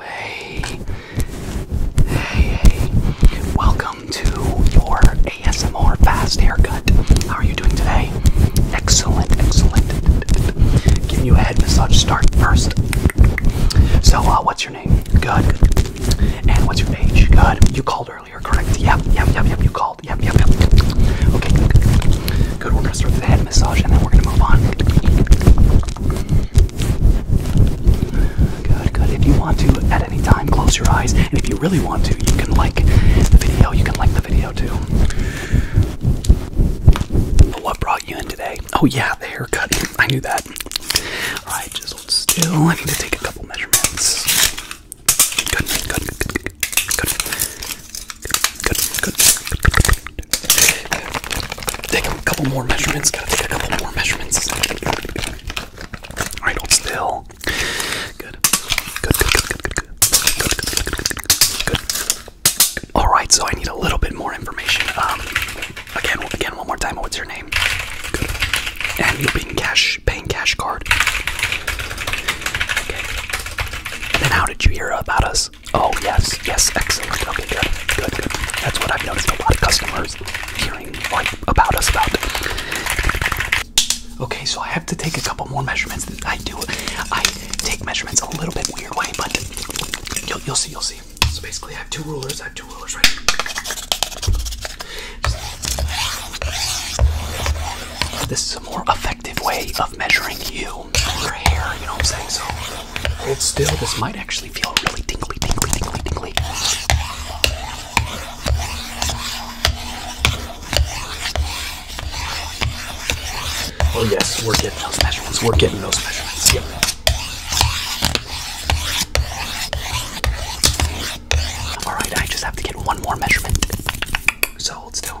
hey, hey, welcome to your ASMR fast haircut. How are you doing today? Excellent, excellent. Giving you a head massage start first. So, uh, what's your name? Good, good. And what's your age? Good. You called earlier, correct? Yeah, yeah, yeah, yep, you called. Yeah, yeah, yeah. Okay, good, we're gonna start the head massage and then we're gonna move on. Good, good. If you want to, at any time, close your eyes. And if you really want to, you can like the video. You can like the video too. But what brought you in today? Oh, yeah, the haircut. I knew that. Alright, just still. I need to take a couple measurements. good, good, good, good, good, good, good, good, good, good, good, good, Take a couple more measurements. Gotta take a couple more measurements. Alright, hold still. Good. Good, good, good, good, good, good. Good, good, good, good, good. Alright, so I need a little bit more information. Um, again, again, one more time. What's your name? Good. And you'll cash, paying cash card. And how did you hear about us? Oh yes, yes, excellent. Okay, good, good, good. That's what I've noticed. A lot of customers hearing about us about. Okay, so I have to take a couple more measurements. I do. I take measurements a little bit weird way, but you'll, you'll see, you'll see. So basically, I have two rulers. I have two rulers right here. This is a more effective way of measuring you cool hair, you know what I'm saying? So hold still, this might actually feel really tingly, tingly, tingly, tingly. Oh yes, we're getting those measurements. We're getting those measurements. Yep. Alright, I just have to get one more measurement. So hold still.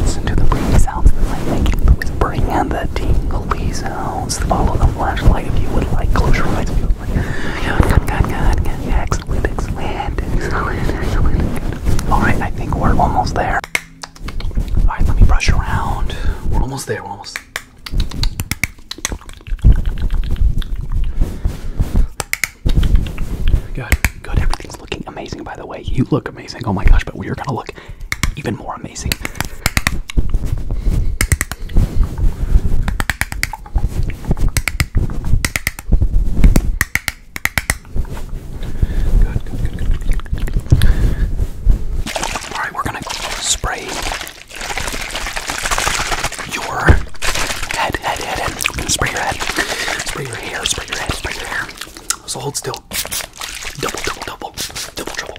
Listen to the brain sounds that I'm making. Please bring in the tingly sounds. Follow the flashlight if you would like. Close your eyes if you would like. Good, good, good, good. Excellent, excellent, excellent, excellent. Alright, I think we're almost there. Alright, let me brush around. We're almost there, we're almost. Good, good. Everything's looking amazing, by the way. You look amazing. Oh my gosh, but we're gonna look even more amazing. Good, good, good, All right, we're gonna spray your head, head, head, head. Spray your head. Spray your your hair, spray your head, spray your hair. So hold still. Double, double, double, double, trouble.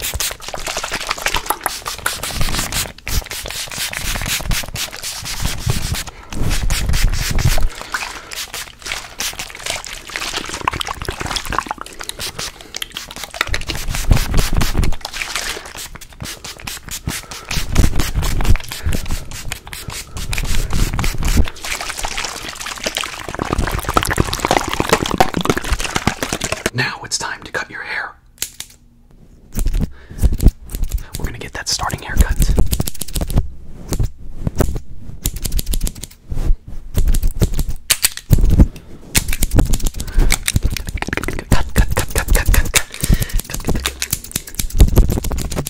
Now it's time to cut your hair. We're going to get that starting haircut. Cut, cut, cut, cut, cut, cut, cut, cut, cut, cut,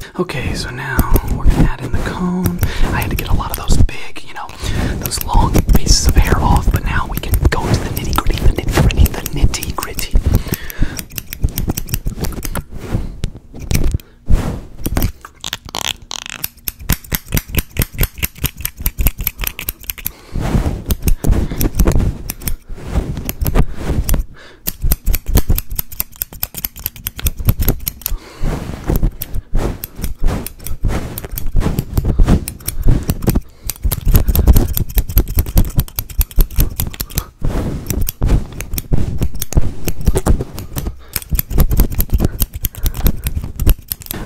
Okay, so now we're gonna add in the cone. I had to get a lot of those big, you know, those long pieces of hair off, but now we can go to the nitty gritty, the nitty gritty, the nitty gritty.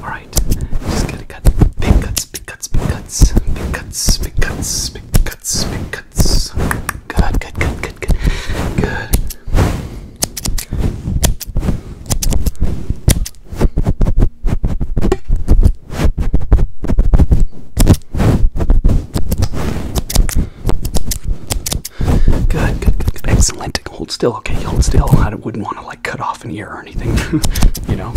All right, just gotta cut big cuts, big cuts, big cuts, big cuts, big cuts, big cuts, big cuts. Good, good, good, good, good, good. Good, good, good, good. Excellent. Hold still, okay? Hold still. I wouldn't want to like cut off an ear or anything, you know?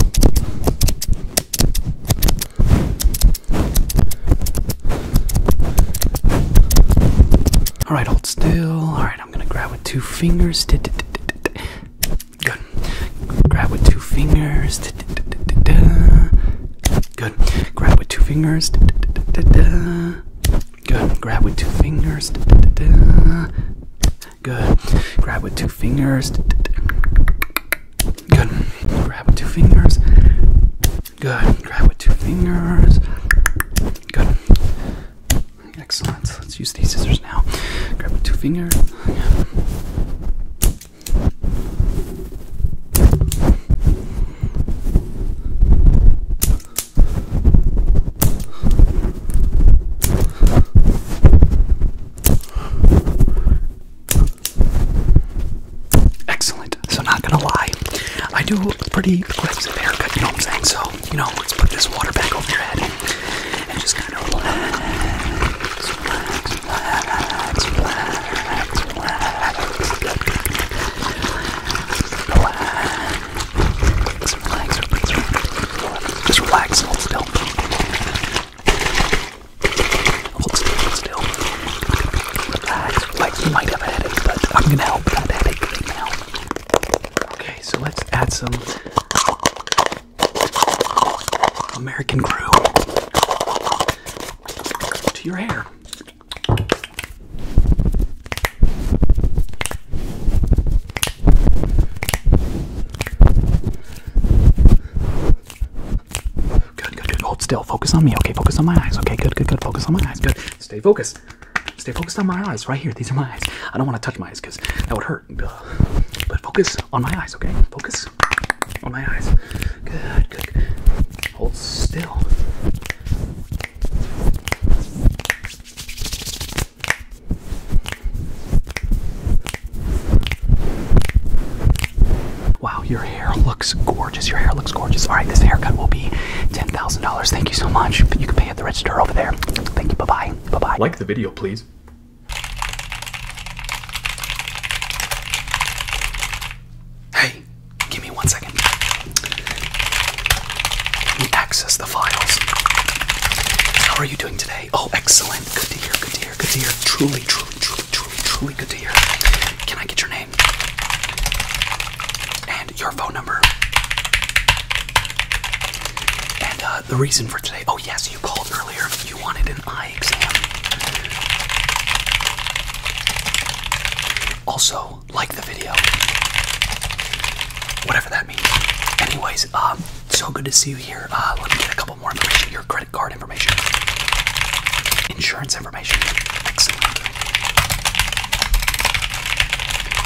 All right, hold still. All right, I'm gonna grab with two fingers. Good. Grab with two fingers. Good. Grab with two fingers. Good. Grab with two fingers. Good. Grab with two fingers. Good. Grab with two fingers. Good. Grab with two fingers. Good. Excellent. Let's use these scissors now. Grab with two fingers. Yeah excellent. So not gonna lie, I do a pretty aggressive haircut, you know what I'm saying? So, you know, let's put this water back over your head and just kind of relax, relax, relax, relax, relax, relax, relax, relax, just relax, hold still. Hold still, hold still. Relax, like you might have a headache, but I'm gonna help with that headache right now. Okay, so let's add some American Crew to your hair. Good, good, good. Hold still. Focus on me. Okay, focus on my eyes. Okay, good, good, good. Focus on my eyes. Good. Stay focused. Stay focused on my eyes. Right here. These are my eyes. I don't want to touch my eyes because that would hurt. But focus on my eyes, okay? Focus on my eyes. Good, good. Hold still. Wow, your your hair looks gorgeous. Your hair looks gorgeous. All right, this haircut will be $10,000. Thank you so much. You can pay at the register over there. Thank you. Bye bye. Bye bye. Like the video, please. Hey, give me one second. We access the files. How are you doing today? Oh, excellent. Good to hear. Good to hear. Good to hear. Truly, truly, truly, truly, good to hear. Can I get your name? and your phone number and uh, the reason for today. Oh, yes, you called earlier. You wanted an eye exam. Also, like the video. Whatever that means. Anyways, um, so good to see you here. Uh, let me get a couple more information. Your credit card card information, insurance information. Excellent.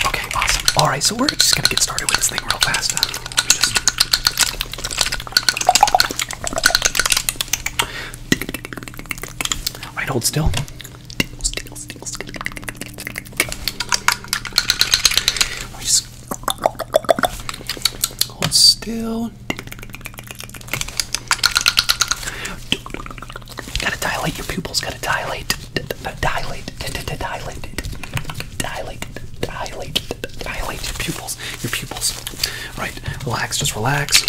Okay, awesome. All right, so we're just gonna get started with this thing real fast. Uh, let me just. All right, hold still. Hold still on. Gotta dilate your pupils. Gotta dilate, dilate, dilate, dilate, dilate, dilate, dilate your pupils. Your pupils. Right. Relax. Just relax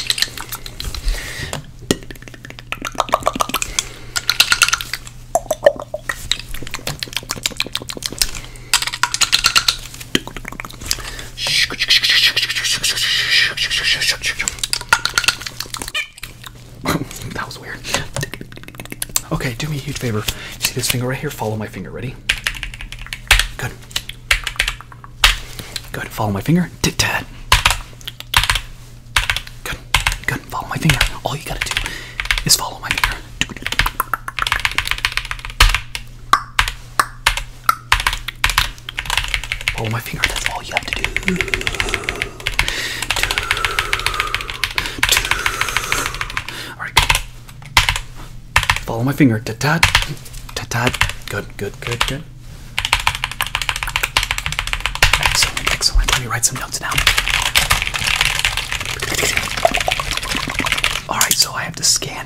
that was weird. Okay, do me a huge favor. see this finger right here? Follow my finger. Ready? Good. Good. Follow my finger. Tit tat. Good. Good. Follow my finger. All you gotta do is follow my finger. Oh, my finger, that's all you have to do. do, do. Alright. Follow my finger. Ta ta. Ta ta. Good, good, good, good. Excellent, excellent. Let me write some notes now. Alright, so I have to scan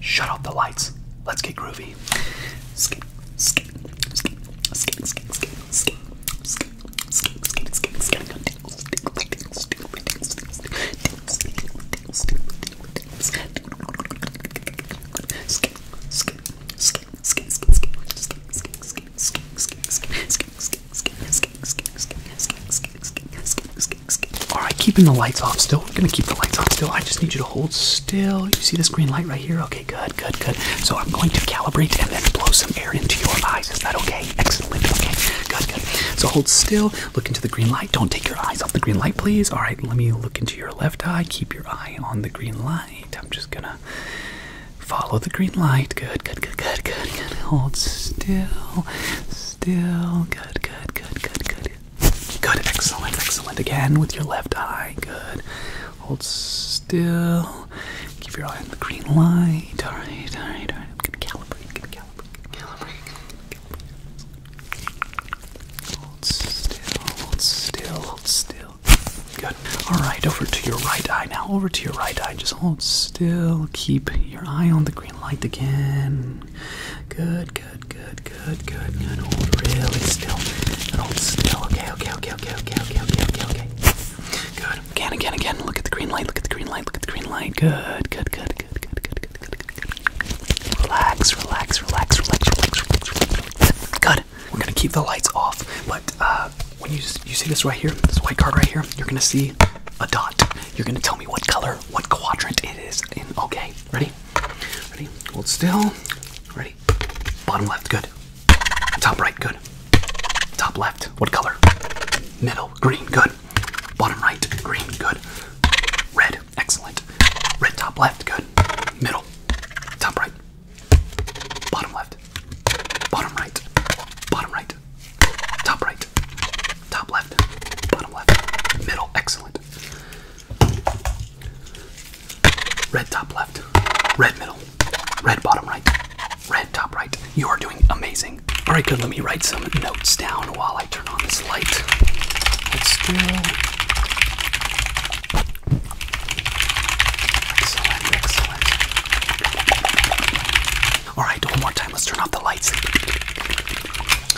Shut off the lights. Let's get groovy. Skip, skip, skip, skip, skip, skip, skip, skip, skip, skip, skip, skip, skip, skip, skip, skip, skip, skip, skip, skip. All right, keeping the lights off still. We're gonna keep the lights off still. I just need you to hold still. You see this green light right here? Okay, good, good, good. So I'm going to calibrate and then blow some air into your eyes. Is that okay? Excellent. Okay, good, good. So hold still. Look into the green light. Don't take your eyes off the green light, please. All right, let me look into your left eye. Keep your eye on the green light. I'm just gonna follow the green light. Good, good, good, good, good, good. Hold still. Still. Good, good, good, good, good. Good, excellent, excellent. Again with your left eye. Good. Hold still. Keep your eye on the green light. Alright, alright, alright. I'm gonna calibrate, going Hold still, hold still, hold still. Good. Alright, over to your right eye now. Over to your right eye. Just hold still. Keep your eye on the green light again. Good, good. Good, good, good, good, good. Hold really still. And hold still. Okay, okay, okay, okay, okay, okay, okay, okay, okay. Good. Again, again, again. Look at the green light. Look at the green light. Look at the green light. Good, good, good, good, good, good, good, good, good. Relax, relax, relax, relax, relax, relax. Good. We're gonna keep the lights off, but uh, when you you see this right here, this white card right here, you're gonna see a dot. You're gonna tell me what color, what quadrant it is Okay, ready? Ready? Hold still. Ready? Bottom left, good. Top right, good. Top left, what color? Middle, green, good. Bottom right, green, good. Red, excellent. Red, top left, good. Middle, top right. Bottom left, bottom right, bottom right, top right top left, bottom left, middle, excellent. Red top left, red middle, red bottom right, red top right. You are doing amazing. All right, good. Let me write some notes down while I turn on this light. Let's do. Excellent, excellent. All right, one more time. Let's turn off the lights.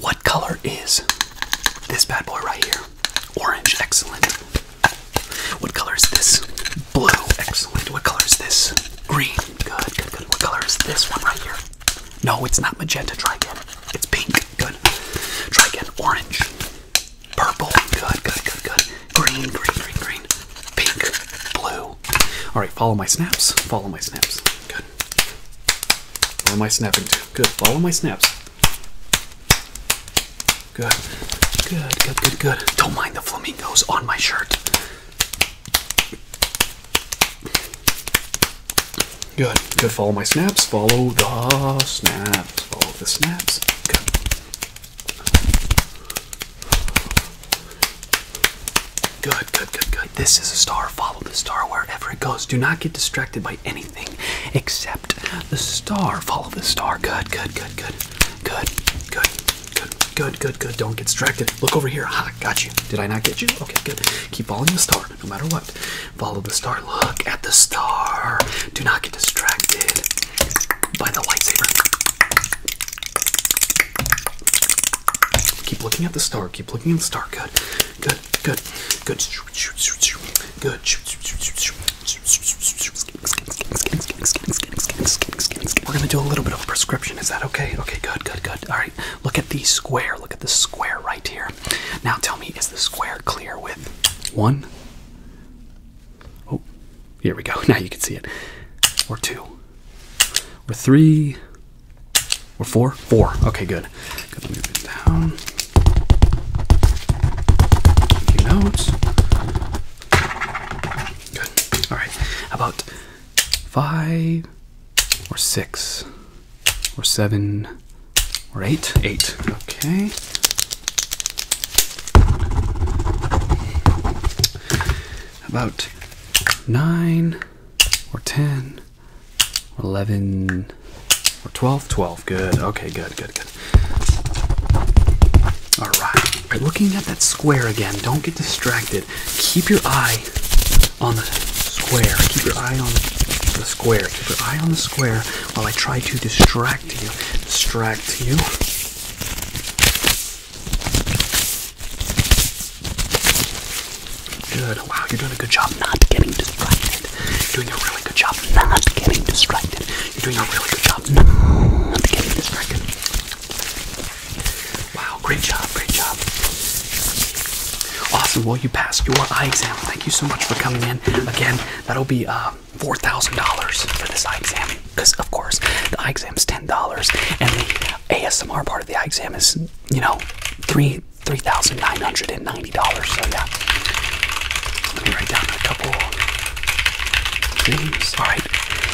What color is this bad boy right here? Orange, excellent. What color is this? Blue, excellent. What color is this? Green, good, What color is this one right here? No, it's not magenta, try again. It's pink good. Try again. Orange. Purple. Good, good, good, good. Green, green, green, green. Pink. Blue. Alright, follow my snaps. Follow my snaps. Good. What am I snapping to? Good. Follow my snaps. Good. Good, good, good, good. Don't mind the flamingos on my shirt. Good. Good. Follow my snaps. Follow the snaps. Follow the snaps. Good. Good, good, good, good. This is a star. Follow the star wherever it goes. Do not get distracted by anything except the star. Follow the star. Good, good, good, good. Good, good, good, good, good, good. Don't get distracted. Look over here. Ha, got you. Did I not get you? Okay, good. Keep following the star no matter what. Follow the star. Look at the star. Do not get distracted by the lightsaber. Keep looking at the star. Keep looking at the star. Good. Good. Good. Good. Good. We're gonna do a little bit of a prescription. Is that okay? Okay, good, good, good. Alright. Look at the square. Look at the square right here. Now tell me, is the square clear with one? Oh, here we go. Now you can see it. Or two. Or three. Or four? Four. Okay, good. Good, let move it down. Making notes. Good. Alright. about five or six? or seven or eight? Eight. Okay. About nine or ten or eleven or twelve, twelve. Good. Okay, good, good, good. Alright. Looking at that square again. Don't get distracted. Keep your eye on the square. Keep your eye on the square. Keep your eye on the square while I try to distract you. Distract you. Good. Wow, you're doing a good job not getting distracted. You're doing a really good job not getting distracted. You're doing a really good job not getting distracted. Wow, great job, great job. Awesome. Well, you passed your eye exam. Thank you so much for coming in. Again, that'll be uh, $4,000 for this eye exam. Because, of course, the eye exam is $10. And the ASMR part of the eye exam is, you know, three three thousand nine hundred and ninety dollars. So yeah. Let me write down a couple things. Alright.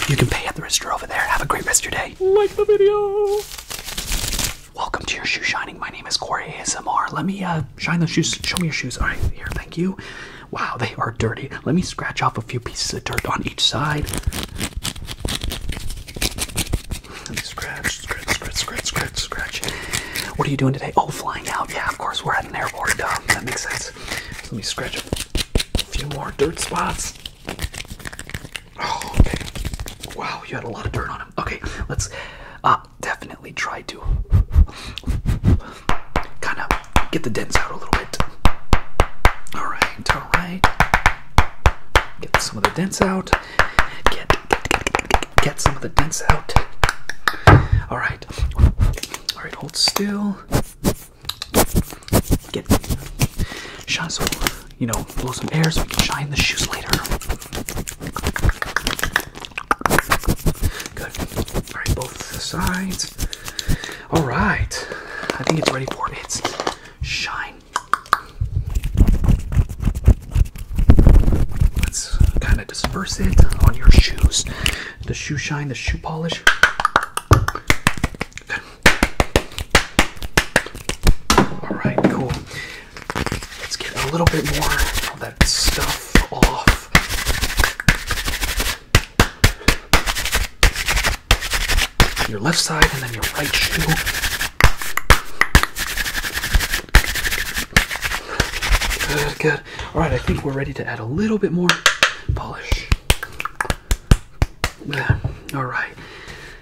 You can pay at the register over there. Have a great rest of your day. Like the video. Welcome to your shoe shining. My name is Corey ASMR. Let me uh, shine those shoes. Show me your shoes. All right, here. Thank you. Wow, they are dirty. Let me scratch off a few pieces of dirt on each side. Let me scratch, scratch, scratch, scratch, scratch, What are you doing today? Oh, flying out. Yeah, of course. We're at an airport. Uh, that makes sense. let me scratch a few more dirt spots. Oh, okay. Wow, you had a lot of dirt on him. Okay, let's uh, definitely try to kind of get the dents out a little bit. All right, all right. Get some of the dents out. Get, get, get, some of the dents out. All right. All right, hold still. Get. Shazzle you know, blow some air so we can shine the shoes later. Good. Alright, both sides. Alright. I think it's ready for its shine. Let's kind of disperse it on your shoes. The shoe shine, the shoe polish. Good. All right, cool. Let's get a little bit more of that stuff off. Your left side and then your right shoe. Good, good. All right, I think we're ready to add a little bit more polish. All right.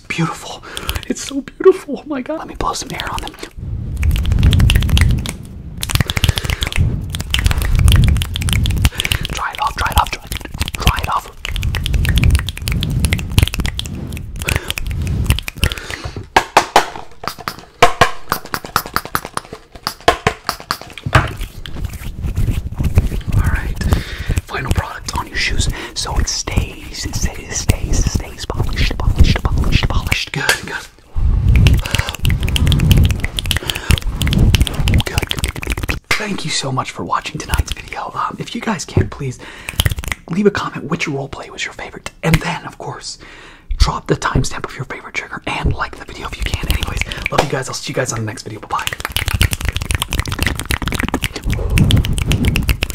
it's beautiful. It's so beautiful. Oh my god. Let me blow some air on them. Try it off, try it off, try it, off. Alright, final product on your shoes so it stays, it stays, it stays polished, Good, Thank you so much for watching tonight's video. Um, if you guys can, please leave a comment which roleplay was your favorite. And then, of course, drop the timestamp of your favorite trigger and like the video if you can. Anyways, love you guys. I'll see you guys on the next video. Bye-bye.